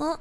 Uh,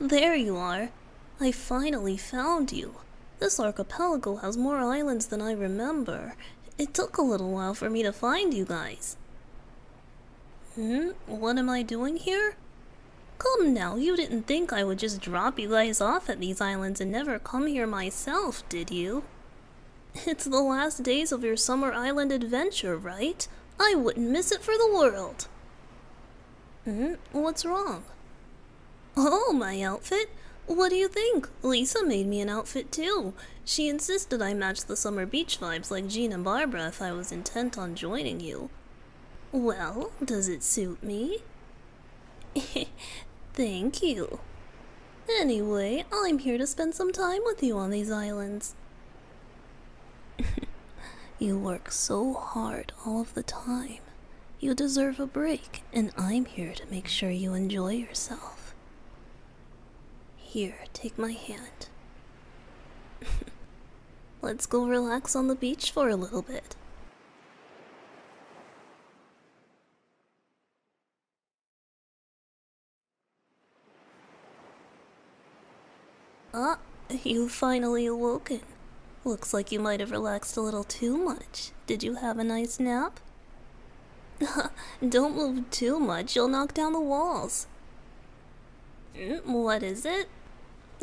There you are! I finally found you. This archipelago has more islands than I remember. It took a little while for me to find you guys. Hmm? What am I doing here? Come now, you didn't think I would just drop you guys off at these islands and never come here myself, did you? It's the last days of your summer island adventure, right? I wouldn't miss it for the world. Hmm, what's wrong? Oh, my outfit? What do you think? Lisa made me an outfit too. She insisted I match the summer beach vibes like Jean and Barbara if I was intent on joining you. Well, does it suit me? Thank you. Anyway, I'm here to spend some time with you on these islands. you work so hard all of the time. You deserve a break, and I'm here to make sure you enjoy yourself. Here, take my hand. Let's go relax on the beach for a little bit. Ah, you've finally awoken. Looks like you might have relaxed a little too much. Did you have a nice nap? Don't move too much, you'll knock down the walls. Mm, what is it?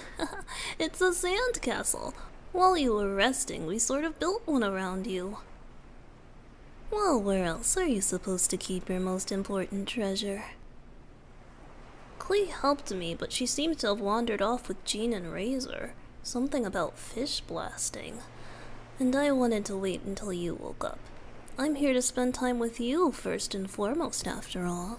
it's a sand castle. While you were resting, we sort of built one around you. Well, where else are you supposed to keep your most important treasure? Clee helped me, but she seems to have wandered off with Jean and Razor. Something about fish blasting. And I wanted to wait until you woke up. I'm here to spend time with you first and foremost, after all.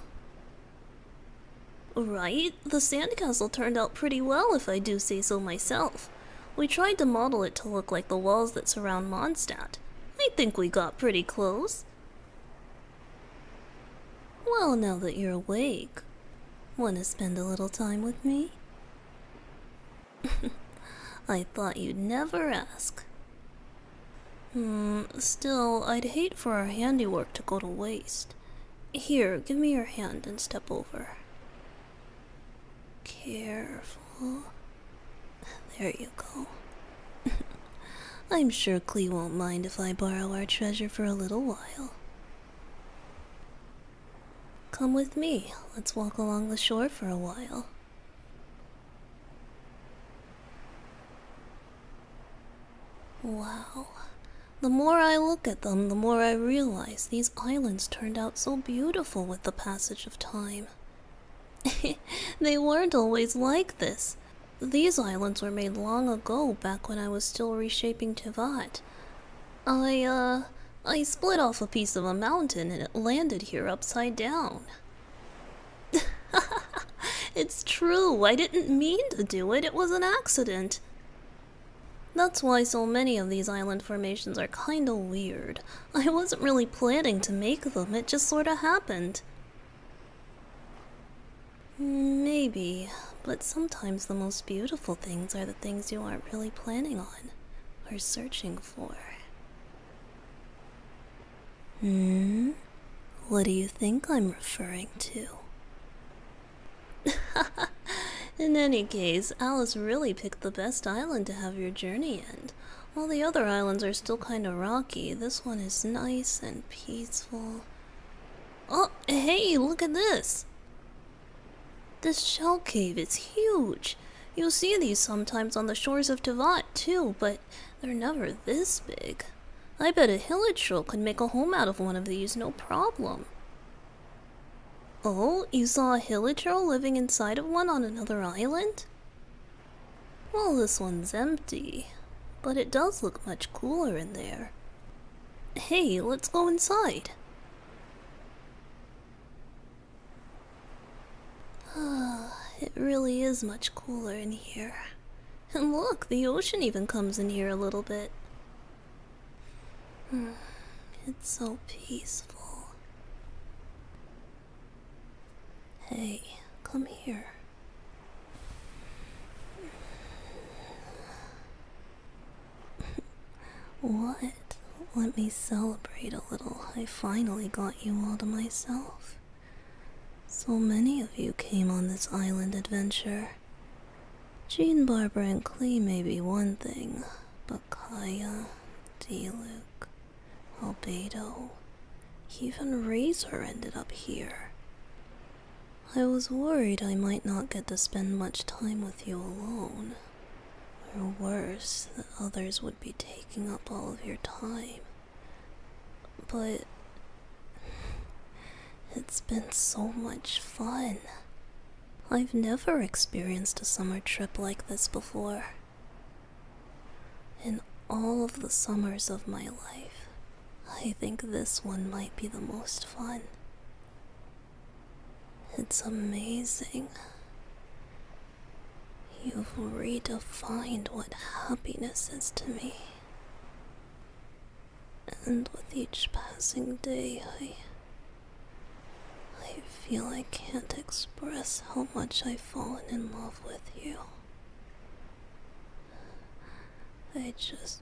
Right? The sandcastle turned out pretty well, if I do say so myself. We tried to model it to look like the walls that surround Mondstadt. I think we got pretty close. Well, now that you're awake, want to spend a little time with me? I thought you'd never ask. Hmm, still, I'd hate for our handiwork to go to waste. Here, give me your hand and step over. Careful. There you go. I'm sure Clee won't mind if I borrow our treasure for a little while. Come with me. Let's walk along the shore for a while. Wow. The more I look at them, the more I realize, these islands turned out so beautiful with the passage of time. they weren't always like this. These islands were made long ago, back when I was still reshaping Tivat. I, uh, I split off a piece of a mountain and it landed here upside down. it's true, I didn't mean to do it, it was an accident. That's why so many of these island formations are kinda weird. I wasn't really planning to make them, it just sorta happened. Maybe, but sometimes the most beautiful things are the things you aren't really planning on or searching for. Hmm? What do you think I'm referring to? Ha! in any case, Alice really picked the best island to have your journey end. While the other islands are still kind of rocky, this one is nice and peaceful. Oh, hey, look at this! This shell cave is huge! You'll see these sometimes on the shores of Tevat, too, but they're never this big. I bet a Hillet troll could make a home out of one of these, no problem. Oh, you saw a troll living inside of one on another island? Well, this one's empty, but it does look much cooler in there. Hey, let's go inside. it really is much cooler in here. And look, the ocean even comes in here a little bit. Hmm, it's so peaceful. Hey, come here. what? Let me celebrate a little. I finally got you all to myself. So many of you came on this island adventure. Jean, Barbara, and Clee may be one thing, but Bakaya, Diluc, Albedo, even Razor ended up here. I was worried I might not get to spend much time with you alone, or worse, that others would be taking up all of your time. But it's been so much fun. I've never experienced a summer trip like this before. In all of the summers of my life, I think this one might be the most fun. It's amazing. You've redefined what happiness is to me. And with each passing day, I I feel I can't express how much I've fallen in love with you. I just.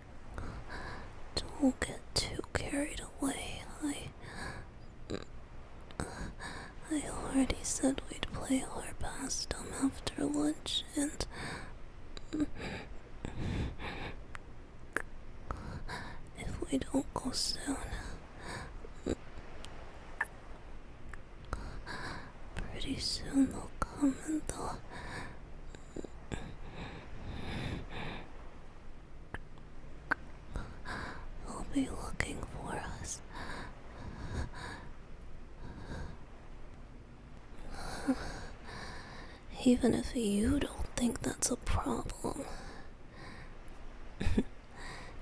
Don't get too carried away. I. I already said we'd play our past dumb after lunch and. If we don't go soon. Pretty soon they'll come and they He'll be looking for us. Even if you don't think that's a problem.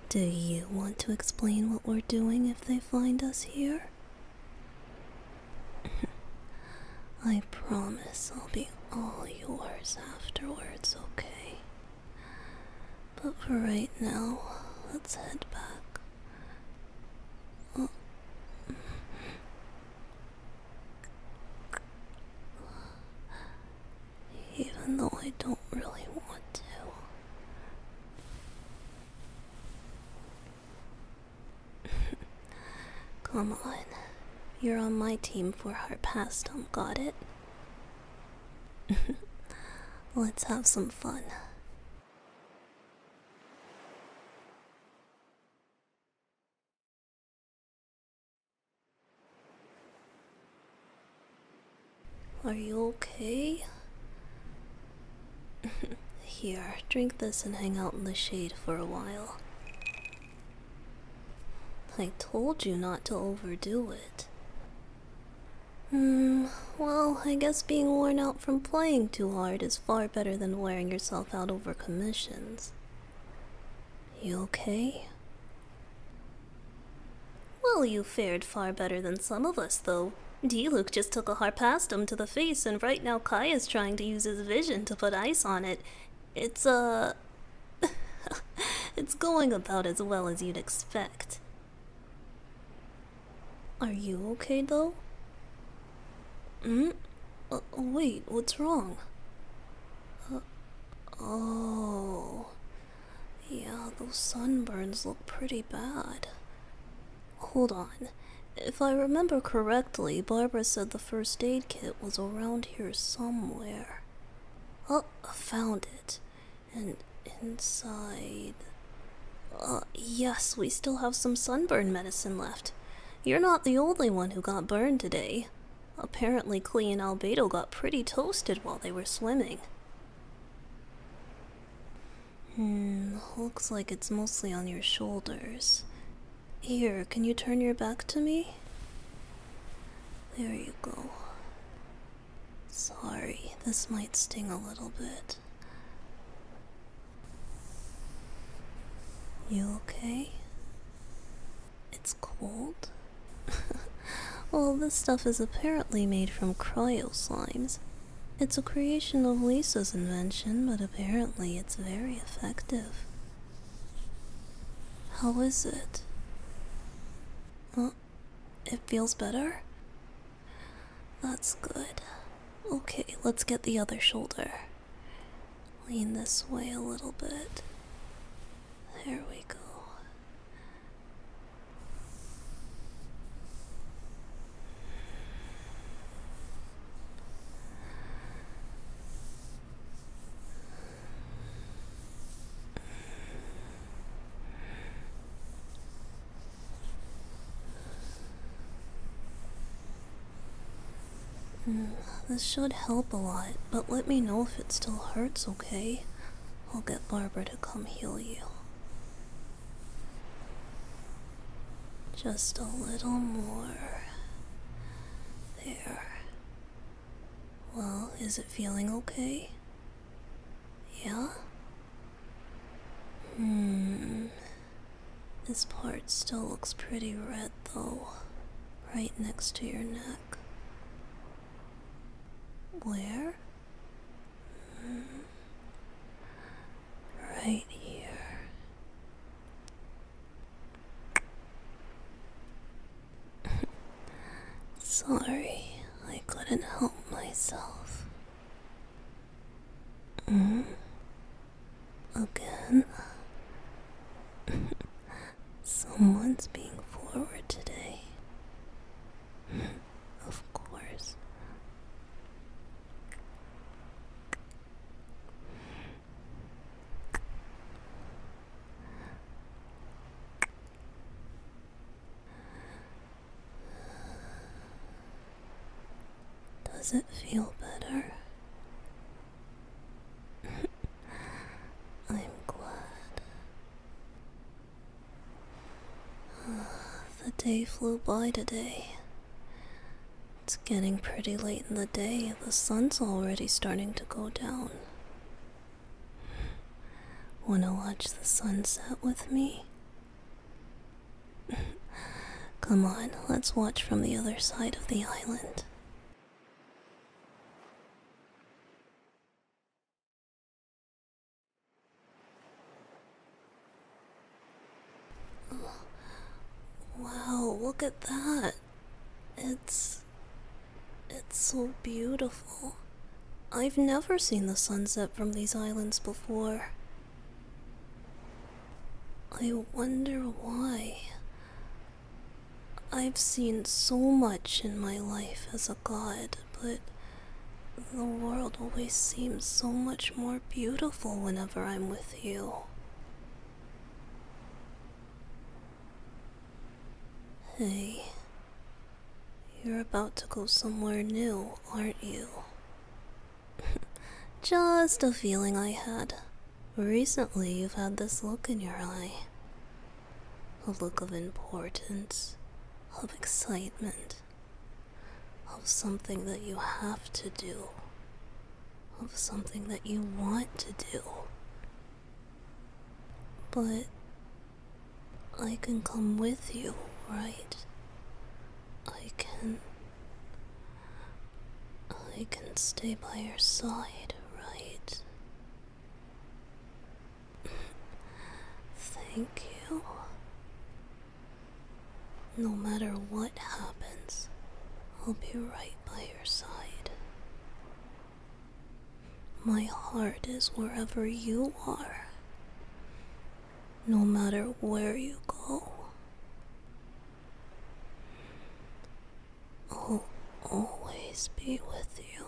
Do you want to explain what we're doing if they find us here? I promise I'll be all yours afterwards, okay? But for right now, let's head back. Even though I don't really want to. Come on. You're on my team for hard pass dump, got it? Let's have some fun. Are you okay? Here, drink this and hang out in the shade for a while. I told you not to overdo it. Hmm, well, I guess being worn out from playing too hard is far better than wearing yourself out over commissions. You okay? Well, you fared far better than some of us, though. D-Luke just took a harpastum to the face, and right now Kai is trying to use his vision to put ice on it, it's, uh. it's going about as well as you'd expect. Are you okay though? Hmm? Uh, wait, what's wrong? Uh, oh. Yeah, those sunburns look pretty bad. Hold on. If I remember correctly, Barbara said the first aid kit was around here somewhere. Oh, I found it. And inside. Ah, yes, we still have some sunburn medicine left. You're not the only one who got burned today. Apparently, Clee and Albedo got pretty toasted while they were swimming. Hmm, looks like it's mostly on your shoulders. Here, can you turn your back to me? There you go. Sorry, this might sting a little bit. You okay? It's cold? well, this stuff is apparently made from cryo slimes. It's a creation of Lisa's invention, but apparently it's very effective. How is it? Well, It feels better? That's good. Okay, let's get the other shoulder. Lean this way a little bit. There we go. this should help a lot, but let me know if it still hurts, okay? I'll get Barbara to come heal you. Just a little more. There. Well, is it feeling okay? Yeah? Hmm. This part still looks pretty red though, right next to your neck. Where? Hmm right here. Sorry, I couldn't help myself. Mm? Again? Uh, someone's being forward today. of course. Does it feel better? I'm glad. the day flew by today. It's getting pretty late in the day. The sun's already starting to go down. Wanna watch the sunset with me? Come on, let's watch from the other side of the island. Wow, look at that. It's. It's so beautiful. I've never seen the sunset from these islands before. I wonder why. I've seen so much in my life as a god, but the world always seems so much more beautiful whenever I'm with you. Hey, you're about to go somewhere new, aren't you? Just a feeling I had. Recently, you've had this look in your eye a look of importance, of excitement, of something that you have to do, of something that you want to do. But I can come with you, right? I can. I can stay by your side, right? Thank you. No matter what happens, I'll be right by your side. My heart is wherever you are, no matter where you go. I'll always be with you.